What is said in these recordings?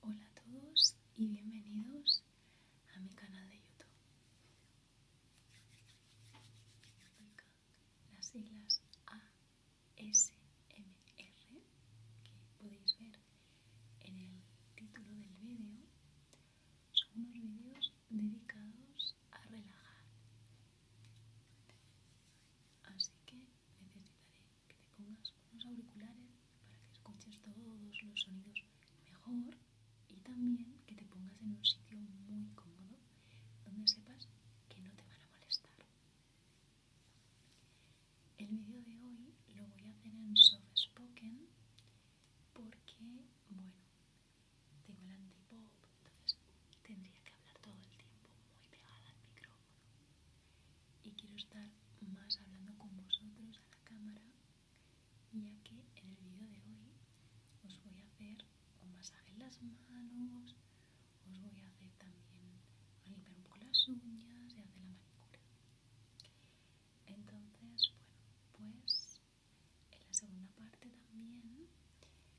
Hola a todos y bienvenidos a mi canal de YouTube. Las siglas ASMR que podéis ver en el título del vídeo son unos vídeos dedicados a relajar. Así que necesitaré que te pongas unos auriculares para que escuches todos los sonidos mejor y también que te pongas en un sitio muy cómodo donde sepas que no te van a molestar. El vídeo de hoy lo voy a hacer en soft spoken porque, bueno, tengo el antipop, entonces tendría que hablar todo el tiempo muy pegada al micrófono y quiero estar más hablando con vosotros a la cámara ya que en el vídeo de hoy os voy a hacer un masaje en las manos os voy a hacer también a limpiar un poco las uñas y hacer la manicura entonces bueno pues en la segunda parte también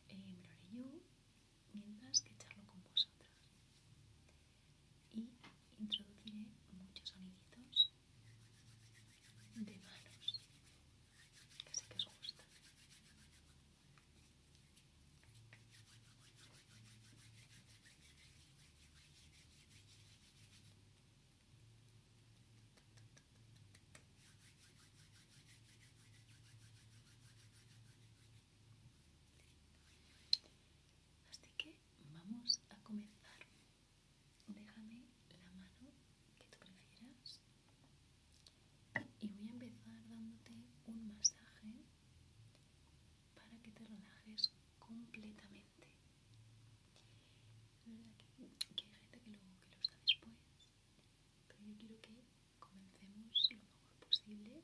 eh, me lo haré yo mientras que charlo con vosotras. Y introduciré muchos soniditos de manos, que sé que os gusta Así que vamos a comenzar. Déjame la mano que tú prefieras y voy a empezar dándote un masaje para que te relajes completamente. Es verdad que, hay gente que lo, que después, pero yo quiero que comencemos lo mejor posible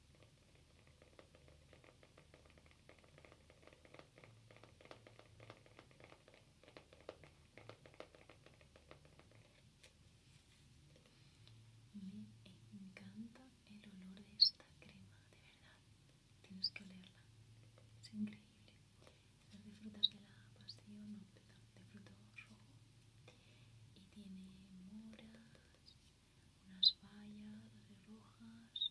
Me encanta el olor de esta crema, de verdad. Tienes que olerla. Es increíble. Es de frutas de la pasión, de fruto rojo. Y tiene moras, unas bayas rojas,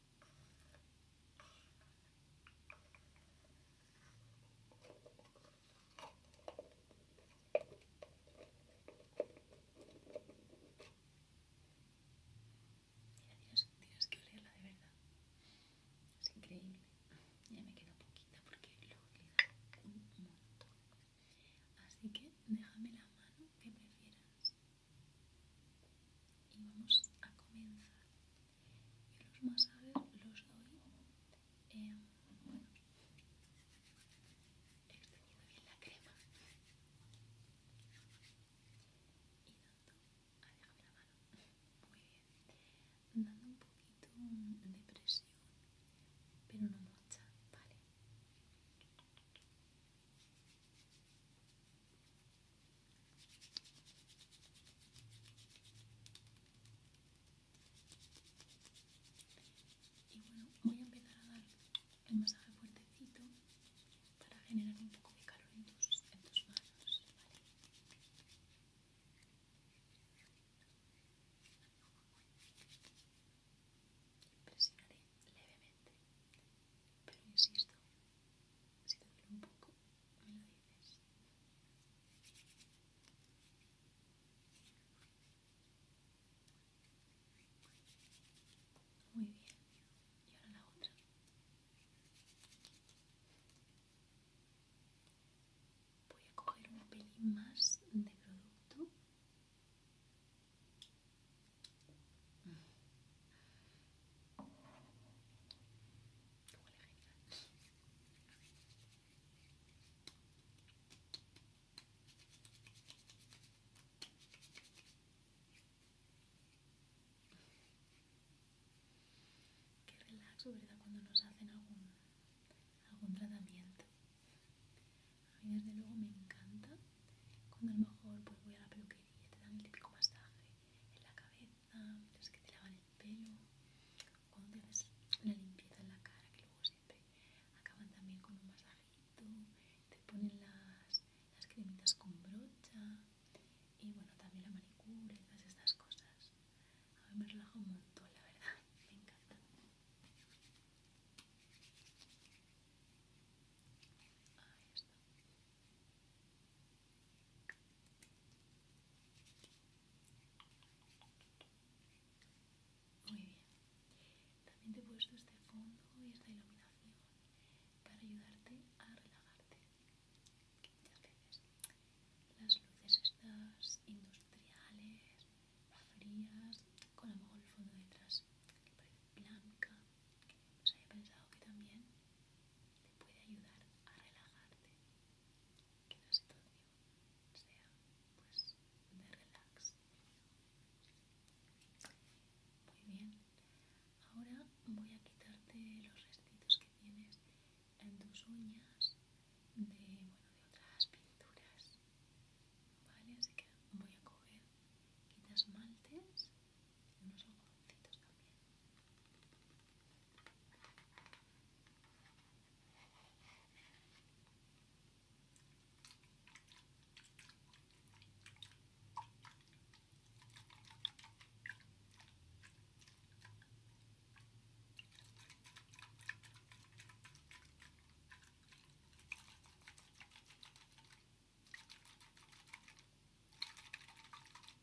tienes que olerla de verdad. Es increíble. Ya me queda poquita porque lo he utilizado un montón. Así que déjame la mano que prefieras. Y vamos a comenzar y los masajes los doy eh, bueno, extendido bien la crema y dando, ah, déjame la mano, muy bien, dando un poquito de presión, pero no mucha, vale. Y bueno, voy a empezar a dar el masaje fuertecito para generar un poco de calor en tus, manos, ¿vale? Presionaré levemente, pero insisto, si te duele un poco, muy bien, y ahora la otra. Voy a coger un pelín más de producto. Qué relaxo, ¿verdad? Cuando nos hacen algún, tratamiento. A mí desde luego me encanta cuando a lo mejor pues voy a la peluquería te dan el típico masaje en la cabeza los ah, que te lavan el pelo, cuando te haces la limpieza en la cara, que luego siempre acaban también con un masajito, te ponen las, las cremitas con brocha y bueno, también la manicura y todas estas cosas. A mí me relaja un montón, la verdad, me encanta. Ahí está. Muy bien. También te he puesto este fondo y esta iluminación para ayudarte a relajarte. muchas veces las luces estas industriales, frías, con a lo mejor el fondo detrás que blanca, pues haya pensado que también te puede ayudar a relajarte, que la situación sea pues de relax. Muy bien, ahora voy a quitarte los restitos que tienes en tus uñas de, bueno, de otras pinturas, ¿vale? Así que voy a coger, Quitas maltes unos ojoncitos también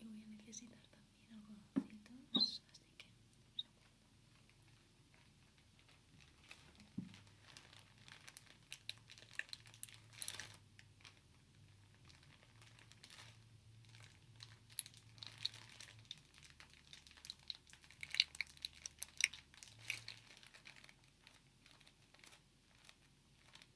Y voy a necesitar también algodoncitos, así que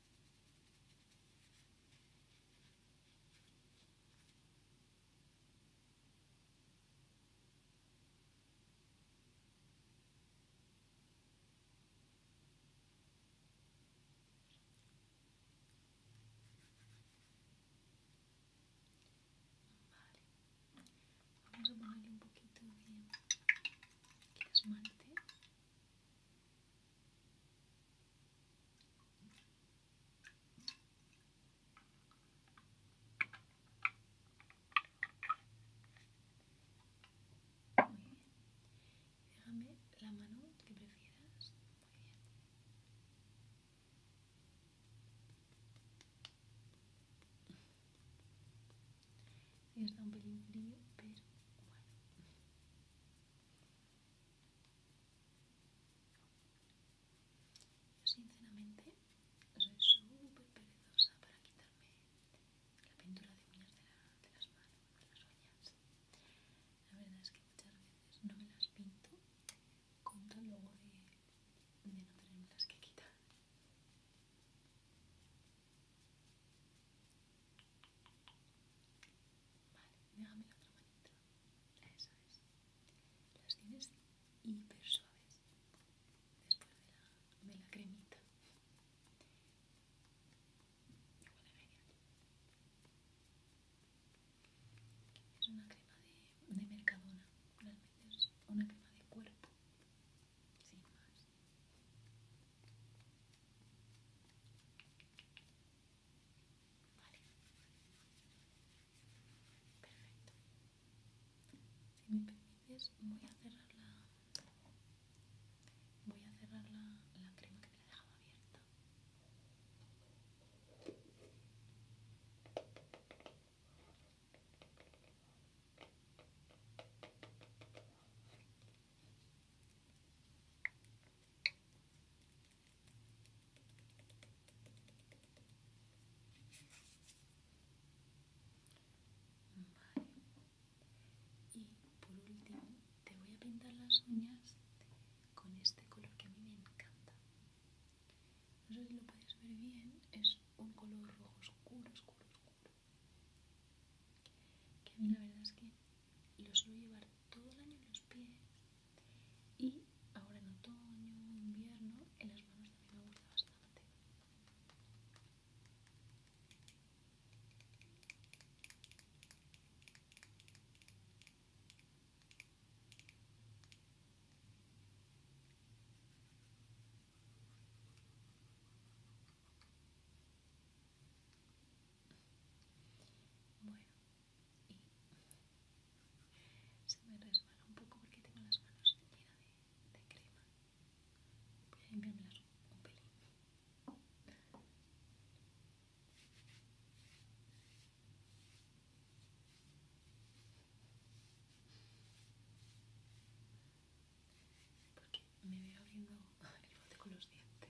Vale. Vamos a ponerle un poquito de, de esmalte. Muy bien. Déjame la mano que prefieras. Muy bien. ya está un pelín frío, pero bueno. Yo sinceramente soy súper perezosa para quitarme la pintura de uñas de, las manos, de las uñas. La verdad es que muchas veces no me las pinto con tan luego de, no tenerme que quitar. Vale, déjame la otra manita. Eso es. Las tienes hiper suaves después de la, cremita. Igual es genial. Es una crema de, Mercadona, una crema de cuerpo, sin más. Perfecto. Si me permites, voy a cerrar la. Voy a cerrar la, crema que le he dejado abierta. Y por último, te voy a pintar las uñas con este color que a mí me encanta. No sé si lo puedes ver bien, es un color rojo oscuro, oscuro, oscuro. Que a mí la verdad es que lo suelo llevar todo el año en los pies y ahora en otoño, invierno, en las manos también me gusta bastante. Bueno, y se me resbala un poco porque tengo las manos llenas de, crema. Voy a limpiármelas un pelín. Porque me veo abriendo el bote con los dientes.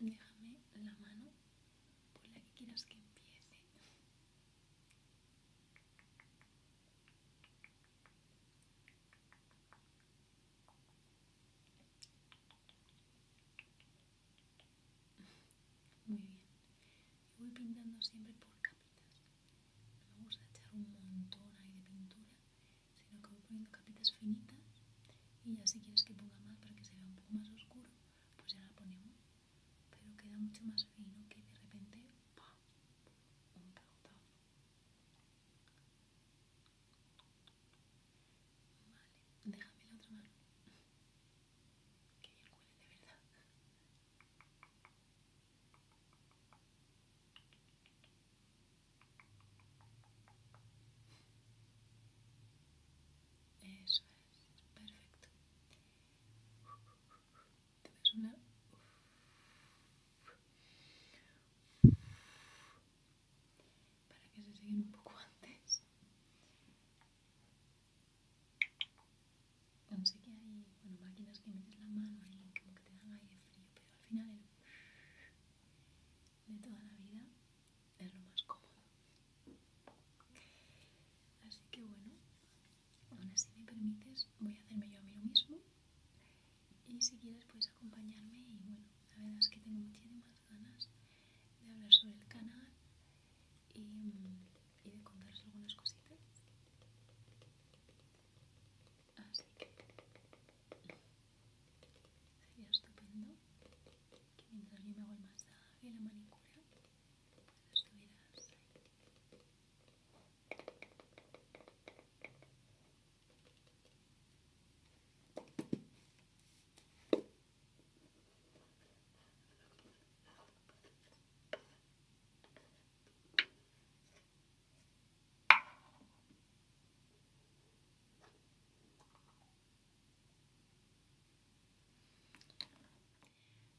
Vale, déjame la mano por la que quieras que empiece. Muy bien. voy pintando siempre por capitas. No me gusta echar un montón ahí de pintura, sino que voy poniendo capitas finitas y ya si quieres que ponga más para que se vea un poco más oscuro pues ya la ponemos pero queda mucho más fino que de repente ¡pa! un pegotazo vale déjame la otra mano que bien huele de verdad eso es, perfecto. Te ves una Para que se siguen un poco antes. no sé que hay bueno, máquinas que metes la mano y como que te dan aire frío, pero al final el de toda la vida es lo más cómodo. Así que bueno, aún así me permites, voy a hacerme yo a mí lo mismo. Y si quieres puedes acompañarme y bueno, la verdad es que tengo muchísimas ganas de hablar sobre el canal y, mm, y de contaros algunas cositas. Así que Sería estupendo que mientras yo me hago el masaje y la manicura, estuvieras ahí.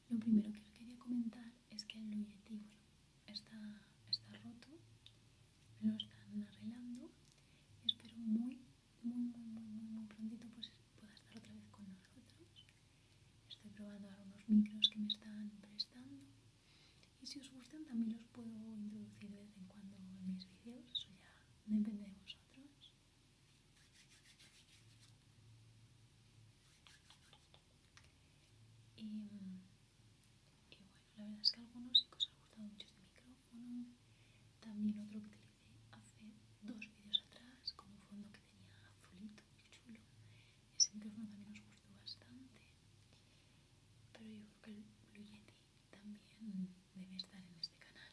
Lo primero que quería comentar es que el Luyetti está, está roto, me lo están arreglando y espero muy, muy, prontito pues estar otra vez con nosotros. Estoy probando ahora micros que me están prestando y si os gustan también los puedo introducir de vez en cuando en mis vídeos, eso ya depende de vosotros. Y, bueno, la verdad es que algunos sí que os ha gustado mucho este micrófono. También otro que utilicé hace dos vídeos atrás, con un fondo que tenía azulito, muy chulo. Ese micrófono también os gustó bastante. Pero yo creo que el Blue Yeti también debe estar en este canal.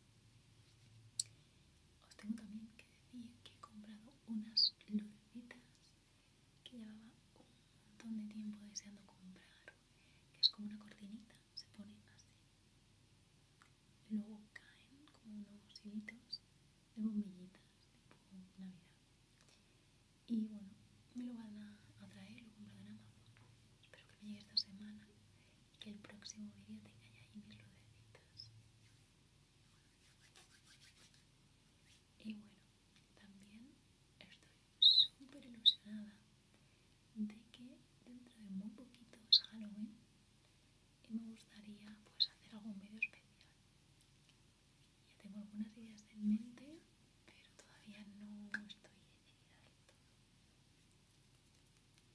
Os tengo también que decir que he comprado unas lucecitas que llevaba un montón de tiempo deseando comprar, que es como una cortinita, se pone así. Luego caen como unos hilitos de bombillitas tipo Navidad. Y bueno, me lo van a, traer, lo he en Amazon. Espero que me llegue esta semana y que el próximo vídeo tenga ya ahí mis lucecitas. Y bueno, también estoy súper ilusionada de que dentro de muy poquito es Halloween y me gustaría pues hacer algo medio especial. Ya tengo algunas ideas en mente, pero todavía no estoy decidida del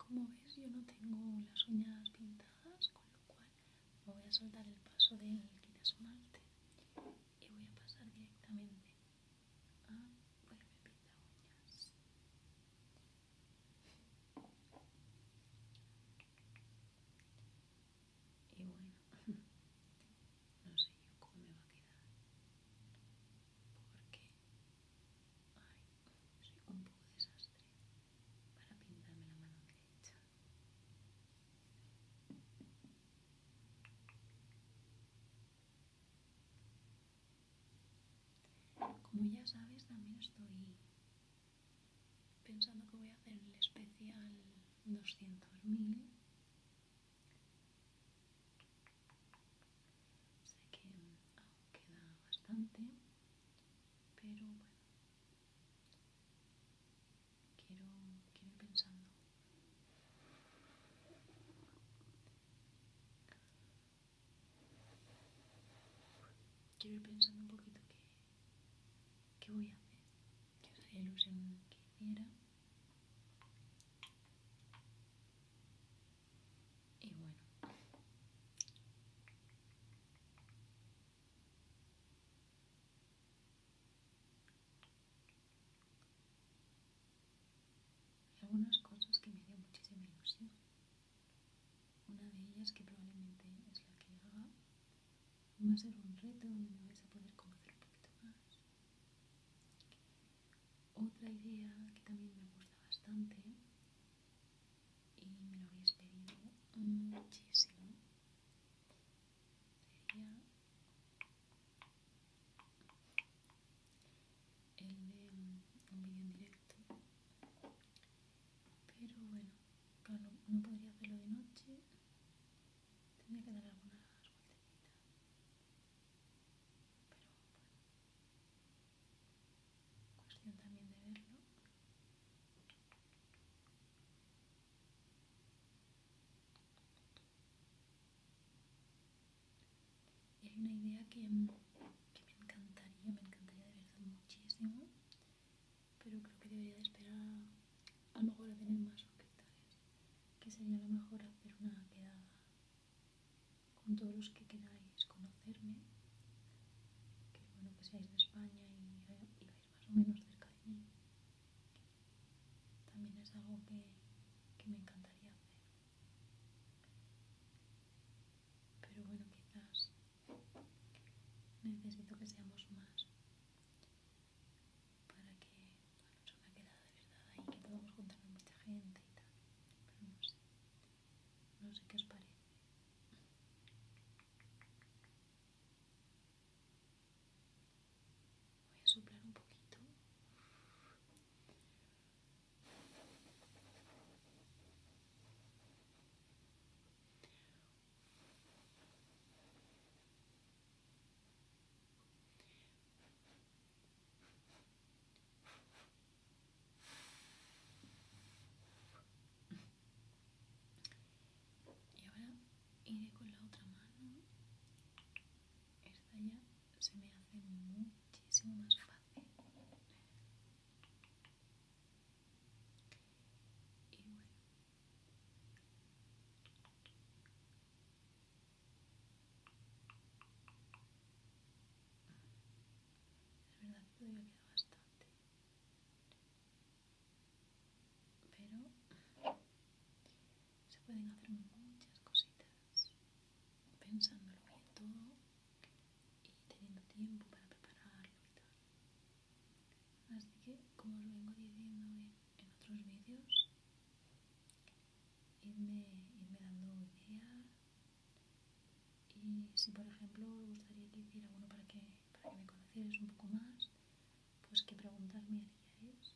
Como ves, yo no tengo las uñas pintadas, con lo cual me voy a saltar el paso del quitasmalte y voy a pasar directamente a ponerme pinta uñas. Y bueno, no sé yo cómo me va a quedar porque ay, soy un poco desastre para pintarme la mano derecha como ya sabes también estoy pensando que voy a hacer el especial 200.000 Sé que aún queda bastante, pero bueno, quiero, ir pensando. Quiero ir pensando un poquito qué, voy a hacer, qué os la ilusión que hiciera. Y bueno. Hay algunas cosas que me hacen muchísima ilusión. Una de ellas que probablemente es la que haga va a ser un reto donde me vais a poder conocer un poquito más. Otra idea que también me gusta bastante y me lo habéis pedido muchísimo sería el de un vídeo en directo pero bueno no podría hacerlo de noche tendría que dar algunas vueltas. Pero cuestión también de verlo. Y hay una idea que, me encantaría, me encantaría de muchísimo, pero creo que debería de esperar a, lo mejor a tener más hospitales, que sería a lo mejor hacer una quedada con todos los que queráis conocerme, que bueno que seáis de España y, eh, vais más o menos cerca de mí. También es algo que me encantaría hacer. Pero bueno, quizás necesito que seamos más para que bueno, eso me ha quedado de verdad ahí, que podemos con mucha gente y tal, pero no sé, no sé qué os parece. Voy a soplar un poquito. Y ahora iré con la otra mano. Esta ya se me hace muchísimo más fácil. La verdad todavía queda bastante. Pero se pueden hacer muchas cositas pensándolo bien todo y teniendo tiempo para prepararlo y tal. Así que, como os vengo diciendo en otros vídeos, irme, dando ideas y si por ejemplo os gustaría que hiciera uno para que, para que me conocierais un poco más, pues qué preguntas me haríais.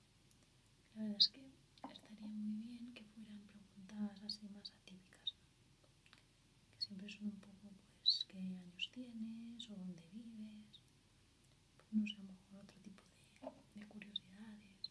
La verdad es que estaría muy bien que fueran preguntas así más atípicas, que siempre son un poco pues qué años tienes o dónde vives, pues, no sé, a lo mejor otro tipo de, de curiosidades,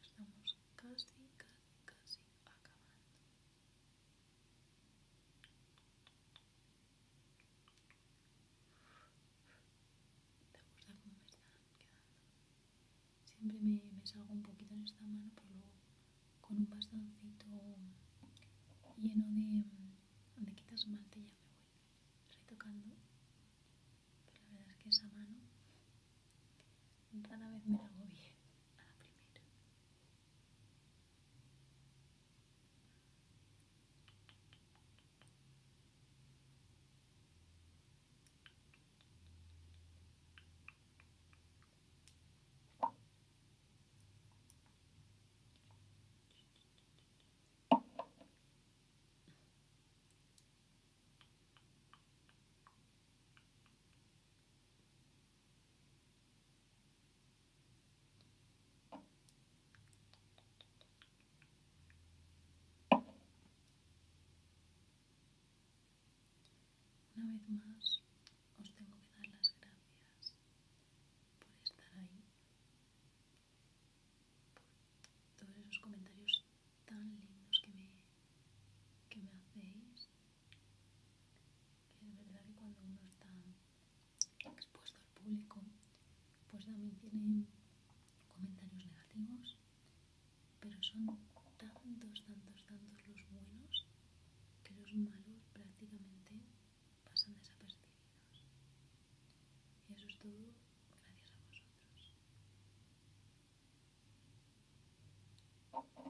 estamos casi casi casi acabando te gusta me están quedando siempre me, salgo un poquito en esta mano pero luego con un bastoncito lleno de, de quita esmalte ya me voy retocando la verdad es que esa mano cada vez me la hago bien a la primera una vez más, os tengo que dar las gracias por estar ahí, por todos esos comentarios tan lindos que me, que me hacéis. Es verdad que cuando uno está expuesto al público, pues también tiene comentarios negativos, pero son tantos, tantos, tantos los buenos que los malos prácticamente pasan desapercibidos. Y eso es todo gracias a vosotros. Ya estoy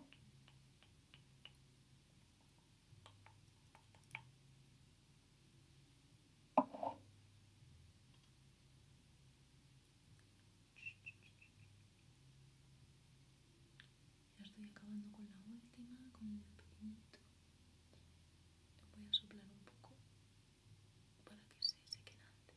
acabando con la última, con el pequeñito. lo voy a soplar un poco para que se seque antes.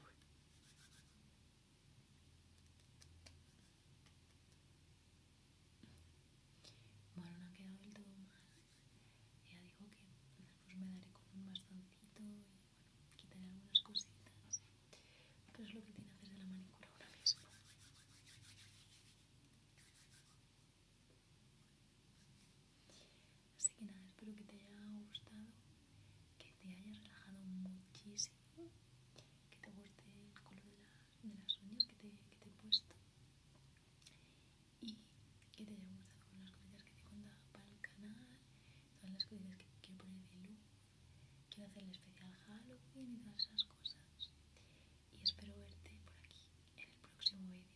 Bueno, no ha quedado el todo mal. Ya digo que después pues me daré con un bastoncito y bueno, quitaré algunas cositas. Pero es lo que tiene que hacer de la manicura ahora mismo. Así que nada, espero que te haya gustado, que te haya relajado muchísimo, que te guste el color de, las uñas que te, he puesto y que te haya gustado con las cositas que te he contado para el canal, todas las cositas que quiero poner de luz, quiero hacer el especial Halloween y todas esas cosas. Y espero verte por aquí en el próximo video